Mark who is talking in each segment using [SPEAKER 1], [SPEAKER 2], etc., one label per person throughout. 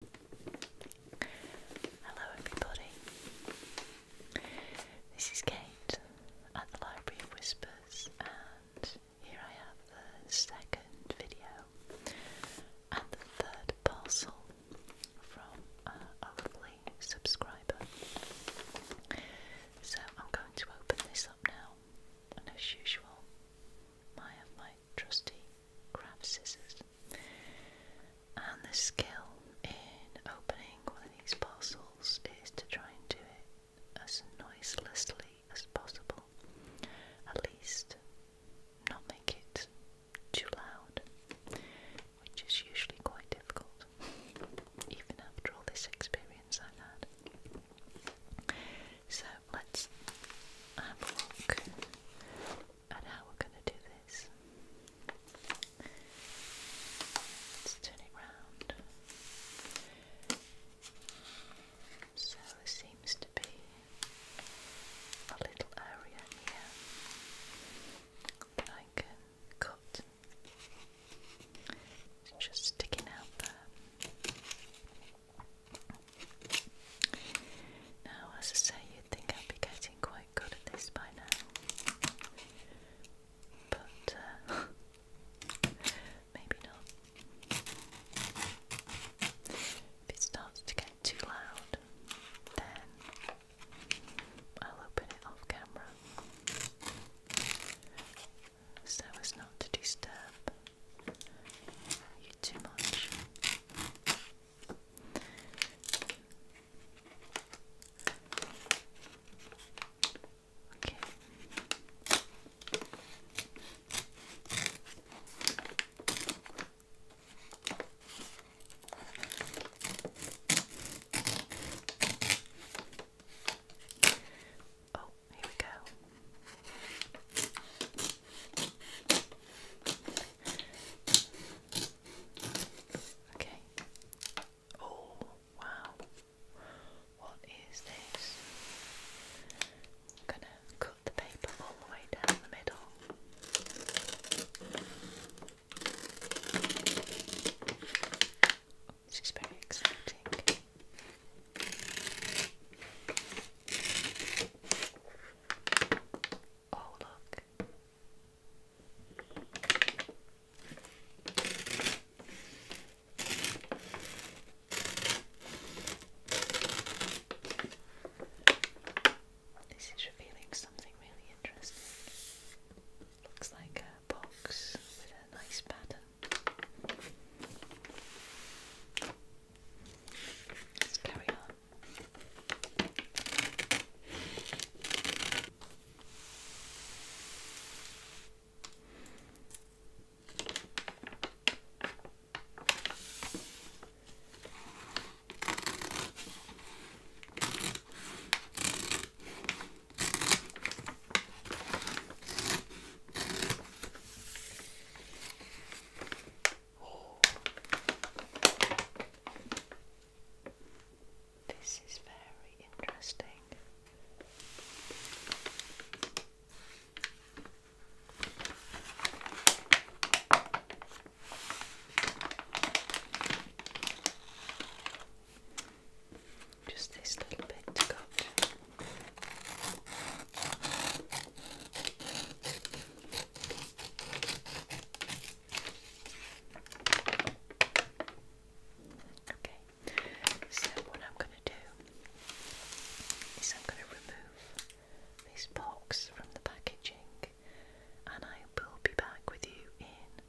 [SPEAKER 1] Hello, everybody. This is Kate at the Library of Whispers, and here I have the second video and the third parcel from a lovely subscriber. So I'm going to open this up now, and as usual, I have my trusty craft scissors and the skill in opening one of these parcels is to try and do it as noiselessly as possible at least not make it too loud which is usually quite difficult even after all this experience I've had so let's have a look and how we're going to do this. Let's turn it round. So there seems to be a little area here that I can cut. It's just sticking out there. Now, as I say, you'd think I'd be getting quite good at this by now, but uh, maybe not. If it starts to get too loud, then I'll open it off camera so as not to disturb you too much. Okay. Oh, here we go. Okay. Oh, wow. What is this? I'm going to cut the paper all the way down the middle. This is very exciting. Oh, look. This is revealing something really interesting. Looks like a box with a nice pattern. Let's carry on. This is very interesting. Just this little bit to go. Okay, so what I'm going to do is I'm going to remove this box from the packaging and I will be back with you in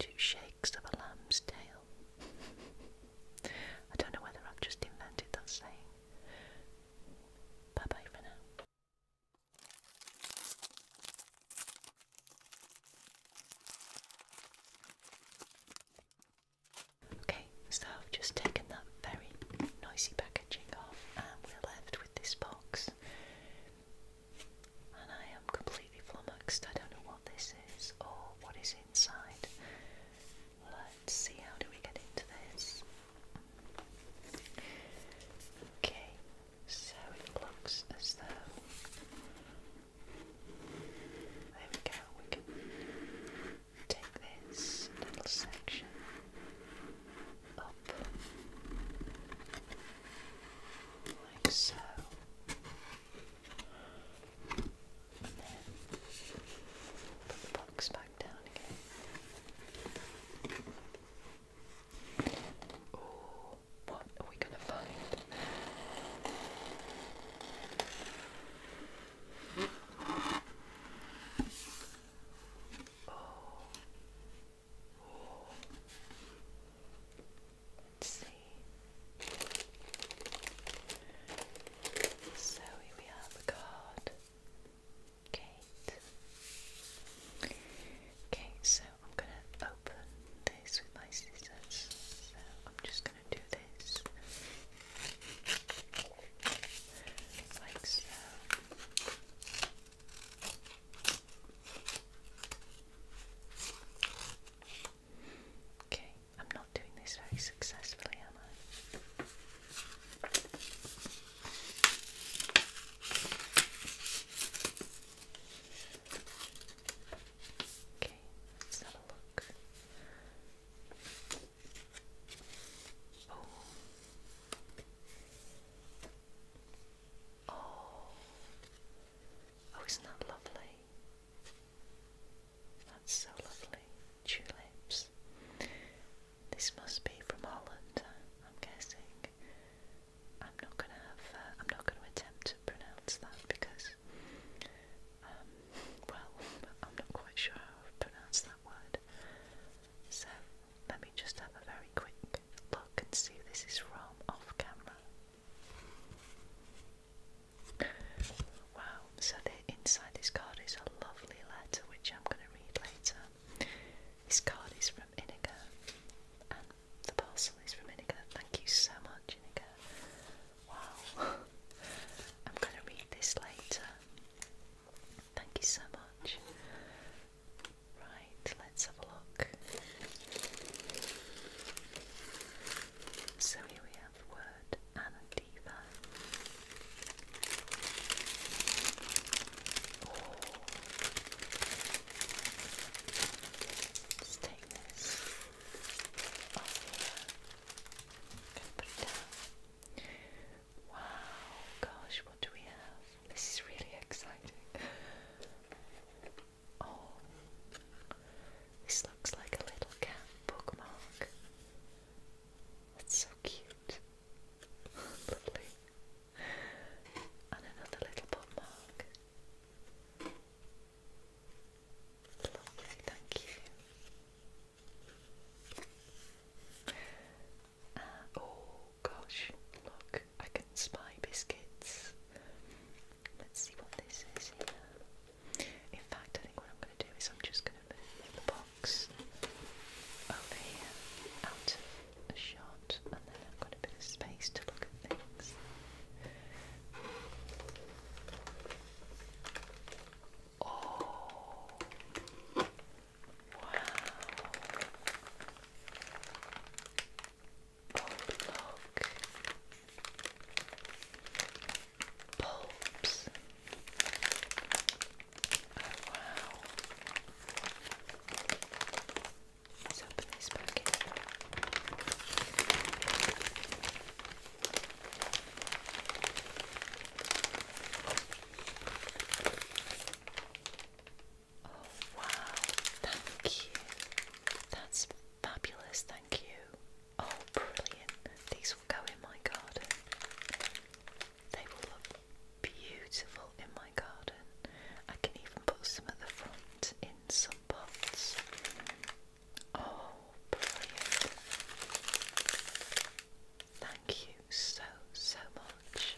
[SPEAKER 1] two shakes of a lamb's tail. I don't know whether I've just invented that saying. Bye bye for now. Okay, so I've just taken that very noisy packaging off and we're left with this box. And I am completely flummoxed. I don't know what this is or what is inside. Let's see how do we get into this. Okay, so it looks as though there we go, we can take this little section up like so put the box back down again. Oh, what are we gonna find? Oh. oh. Let's see. So here we have a card. Kate. Okay, so I'm gonna open this with my scissors. So I'm just gonna do this like so. Okay, I'm not doing this very successfully, am I? Okay, let's have a look. Oh. Oh. Oh, isn't that lovely? That's so lovely. Tulips. This must be from Holland, I'm guessing. I'm not gonna have. Uh, I'm not gonna attempt to pronounce that because, um, well, I'm not quite sure how to pronounce that word. So let me just have a very quick look and see if this is from off camera. Wow, so the, inside this card is a lovely letter which I'm going to read later. This card is from Inigo and the parcel is from Inigo. Thank you so much, Inigo. Wow, I'm going to read this later. Thank you so much. Right, let's have a look. So here we have word and Diva. Let's oh. take this off put it down. Wow, gosh, what do we have? This is really exciting. Oh, this looks like a little cat bookmark. That's so cute. Lovely. And another little bookmark. Lovely, thank you. Uh, oh gosh, look, I can spy biscuits. Let's see what this is here. In fact, I think what I'm going to do is I'm just going to move the box over here out of a shot, and then I've got a bit of space to look at things. Oh, wow. Oh, look. Oh wow. Let's open this packet. Oh wow, thank you. That's Fabulous, thank you. Oh, brilliant. These will go in my garden. They will look beautiful in my garden. I can even put some at the front in some pots. Oh, brilliant. Thank you so, so much.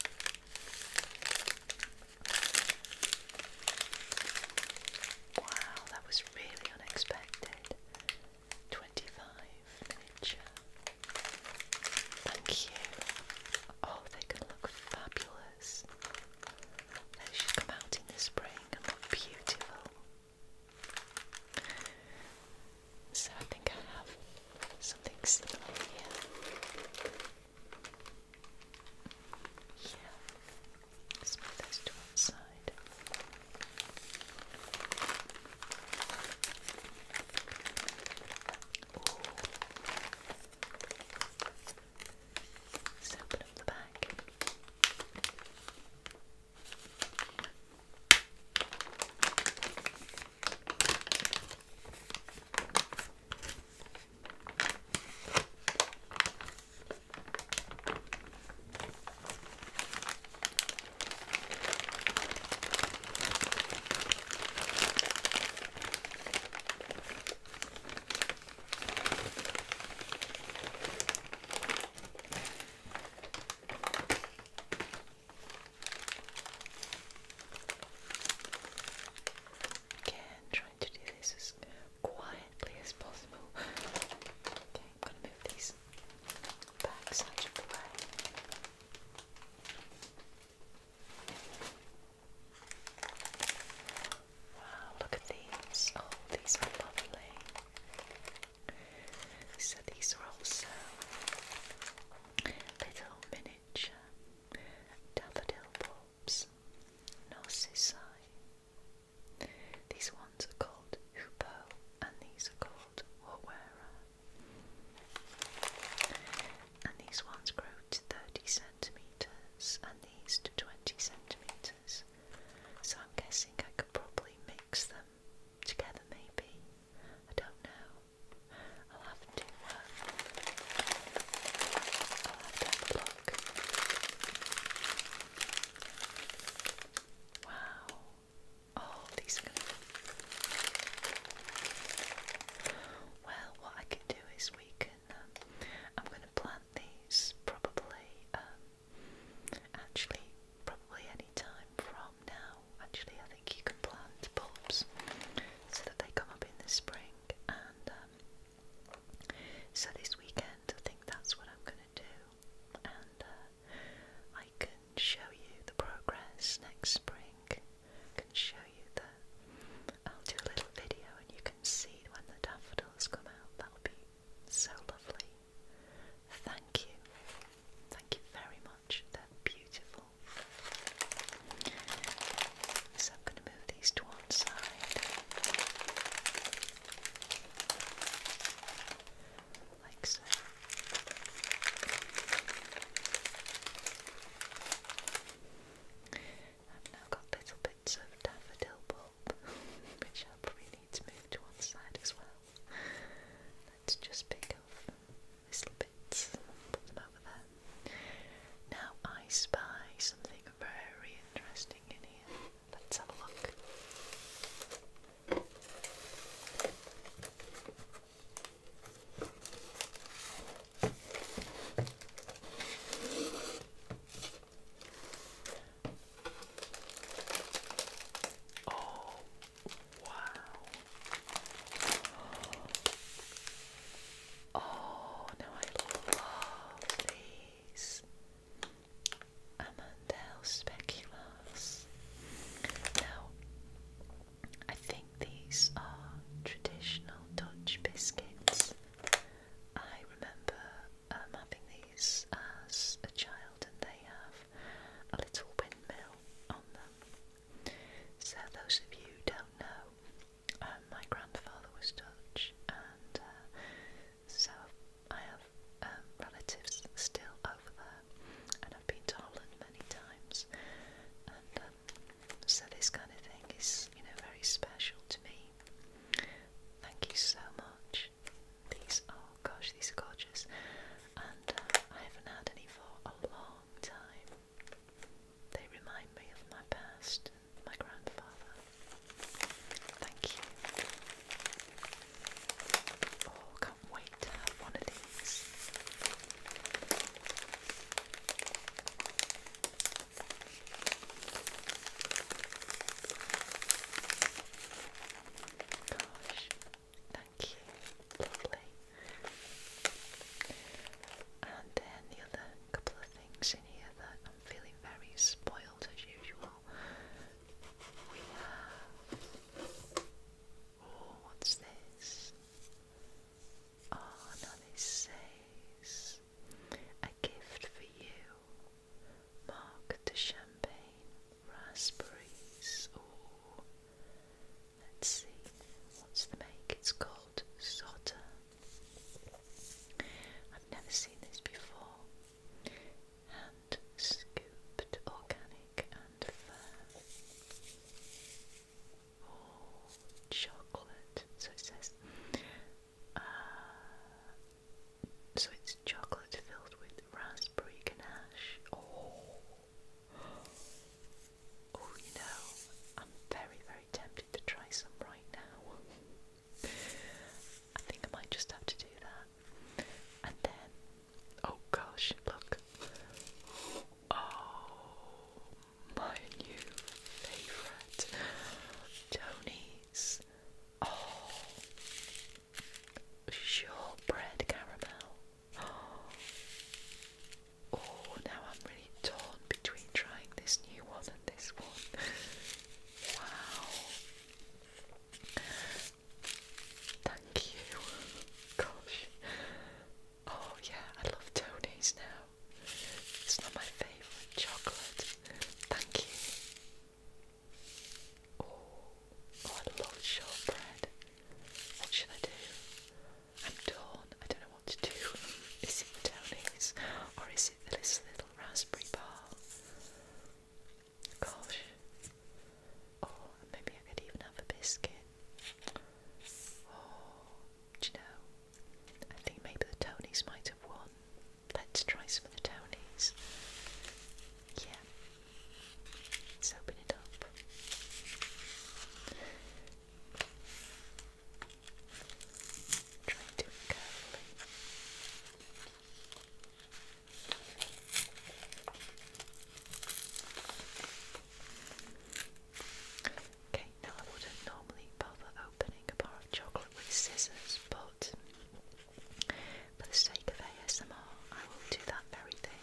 [SPEAKER 1] Wow, that was really unexpected. 25 Thank you. Oh, they can look fabulous. They should come out in the spring and look beautiful. So I think I have something similar here. Yeah. Let's move those to one side. Let's open up the back. Again, trying to do this as quietly as possible. Okay, I'm going to move these back such a way. Wow, ah, look at these. Oh, these are lovely. So these are also little miniature daffodil bulbs, narcissi, these ones are called hoopoe and these are called wawera. And these ones grow to 30 centimetres and these to 20 centimetres. So I'm guessing I could probably mix them together maybe. I don't know. I'll have to, uh, Wow. Oh, these are going Well, what I can do is we can. Um, I'm going to plant these probably. Um, actually, probably any time from now. Actually, I think you can plant bulbs so that they come up in the spring and. Um, so this weekend, I think that's what I'm going to do, and uh, I can show you the progress next spring. I can show you the. I'll do a little video, and you can see when the daffodils come out. That'll be so lovely. Thank you, thank you very much. They're beautiful. So I'm going to move these to one side like so. I've now got little bits of daffodil bulb, which i need to move to one side as well. Let's just pick off little bits put them over there. Now I spy something very interesting in here. Let's have a look. Oh, wow. Oh, now I love these. Amandel speculos. Now, I think these are traditional Dutch biscuits. I remember um, having these as a child, and they have a little windmill on them. So, those of you who don't know, um, my grandfather was Dutch, and uh, so I have um, relatives still over there, and I've been to Holland many times, and um, so this kind of thing is, you know, very special to me. Thank you so much. These, oh gosh, these are gorgeous, and uh, I haven't had any for a long time. They remind me of my past my grandfather. Thank you. Oh, can't wait to have one of these. Gosh, thank you. Lovely. And then the other couple of things in here feeling very spoiled as usual. Oh, what's this? Oh, no, this says a gift for you. Mark the champagne raspberries. Oh, let's see. What's the make? It's called Sotter I've never seen this before. Hand scooped organic and fair. Oh, chocolate. So it says, uh, so it's chocolate filled with raspberry ganache. Oh, oh, you know, I'm very, very tempted to try some right now. I think I might just have to do that. And then, oh gosh, look. Oh, my new favourite Tony's. Oh, shortbread caramel. Oh, now I'm torn between trying this new one and this one. wow. Thank you. Gosh. Oh, yeah, I love Tony's now. It's not my favourite chocolate. Thank you. Oh, oh I love shortbread. What should I do? I'm torn. I don't know what to do. Is it Tony's or is this, little raspberry ball. Gosh. Oh, maybe I could even have a biscuit. Oh, do you know? I think maybe the Tonys might have won. Let's try some of the Tonys. Yeah. Let's open it up. Okay, now I wouldn't normally bother opening a bar of chocolate with scissors, but for the sake of ASMR, I will do that very thing.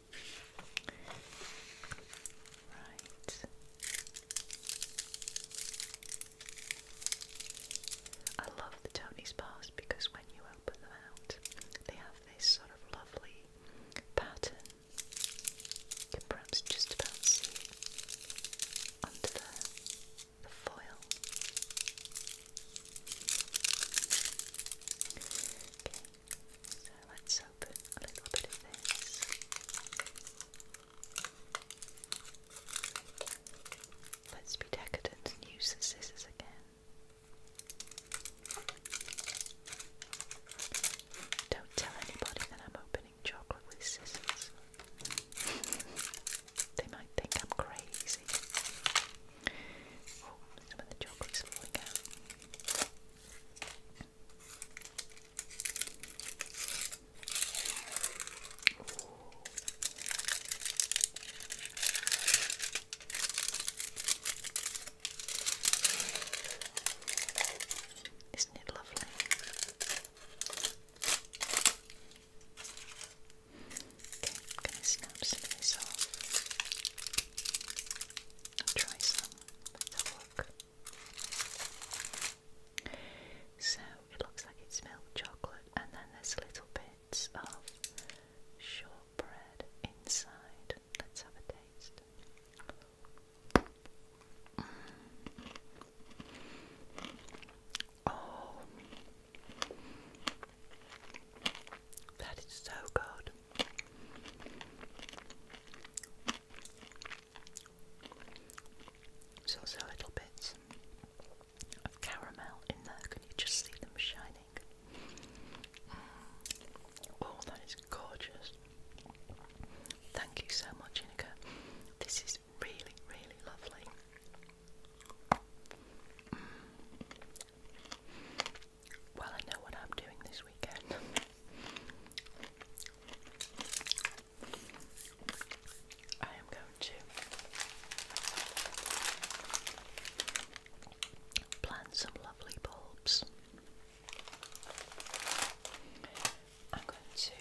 [SPEAKER 1] I love the Tony's bars because when you open them out, they have this sort of lovely pattern. You can perhaps just about see under the foil. Okay, so let's open a little bit of this. Let's be decadent and use the scissors again. Don't tell anybody that I'm opening chocolate with scissors. they might think I'm crazy. Oh, some of the chocolate's falling out. Isn't it lovely? Okay, I'm going to snap some of this off. try some. So it looks like it's milk chocolate, and then there's little bits of shortbread inside. Let's have a taste. Mm. Oh, that is so good. There's also little bits of caramel in there. Can you just see them shining? Mm. Oh, that is gorgeous. Thank you so much, Inika. This is really, really lovely. Mm. Well, I know what I'm doing this weekend. I am going to plant some lovely bulbs. I'm going to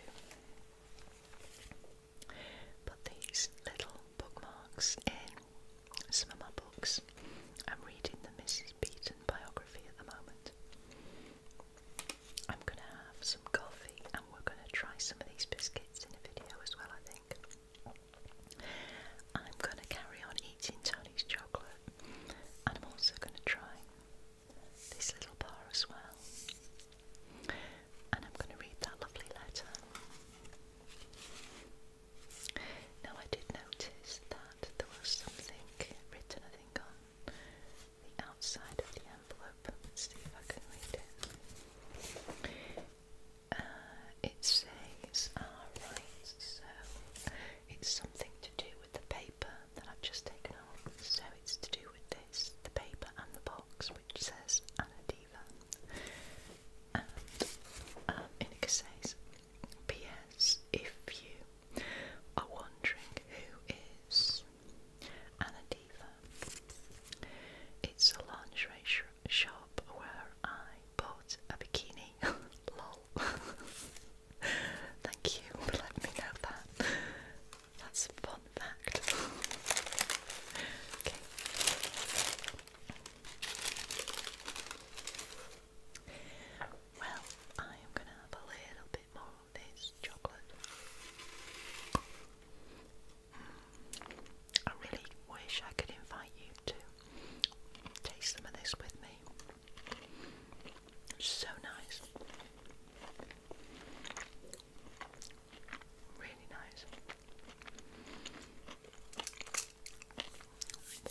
[SPEAKER 1] put these little bookmarks in some of my books. I'm reading the Mrs. Beaton biography at the moment. I'm going to have some coffee and we're going to try some of these biscuits in a video as well, I think. I'm going to carry on eating Tony's chocolate and I'm also going to try this little bar as well. And I'm going to read that lovely letter. Now I did notice that there was something written, I think, on the outside of the envelope. see if I can read it. Uh, it says, alright, ah, so it's something to do with the paper that I've just taken off. So it's to do with this, the paper and the box, which says Anadiva. And um, uh, says, P.S. If you are wondering who is Anna Diva, it's a lingerie shop where I bought a bikini. Lol. Thank you for me know that. That's a fun fact. okay. Well, I am going to have a little bit more of this chocolate. Mm. I really wish I could invite you to taste some of this with me. so nice. Really nice.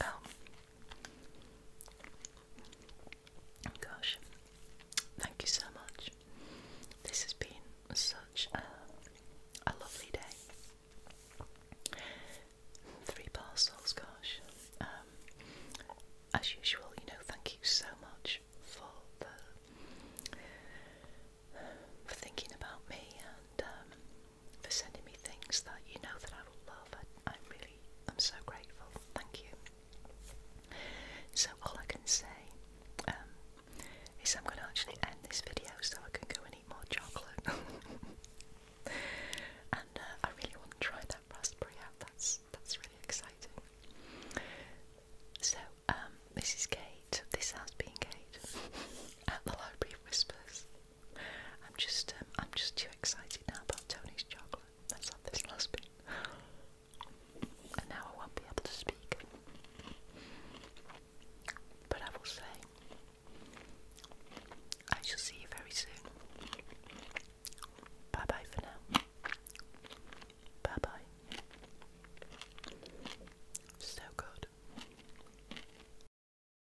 [SPEAKER 1] Well, oh. Gosh, thank you so much. This has been such a, lovely day. Three parcels, gosh. Um, as usual, you know, thank you so much for for thinking about me and um, for sending me things that you know that I will love. I, I'm really, I'm so grateful. Thank you. So all I can say um, is I'm going to actually end this video so I can go and eat more chocolate. and uh, I really want to try that raspberry out. That's that's really exciting. So um, this is Kate. This has been Kate at the Library of Whispers. I'm just, um, I'm just too excited now about Tony's chocolate. Let's have this last bit. And now I won't be able to speak. But I will say, I shall see you very soon. Bye bye for now. Bye bye. So good.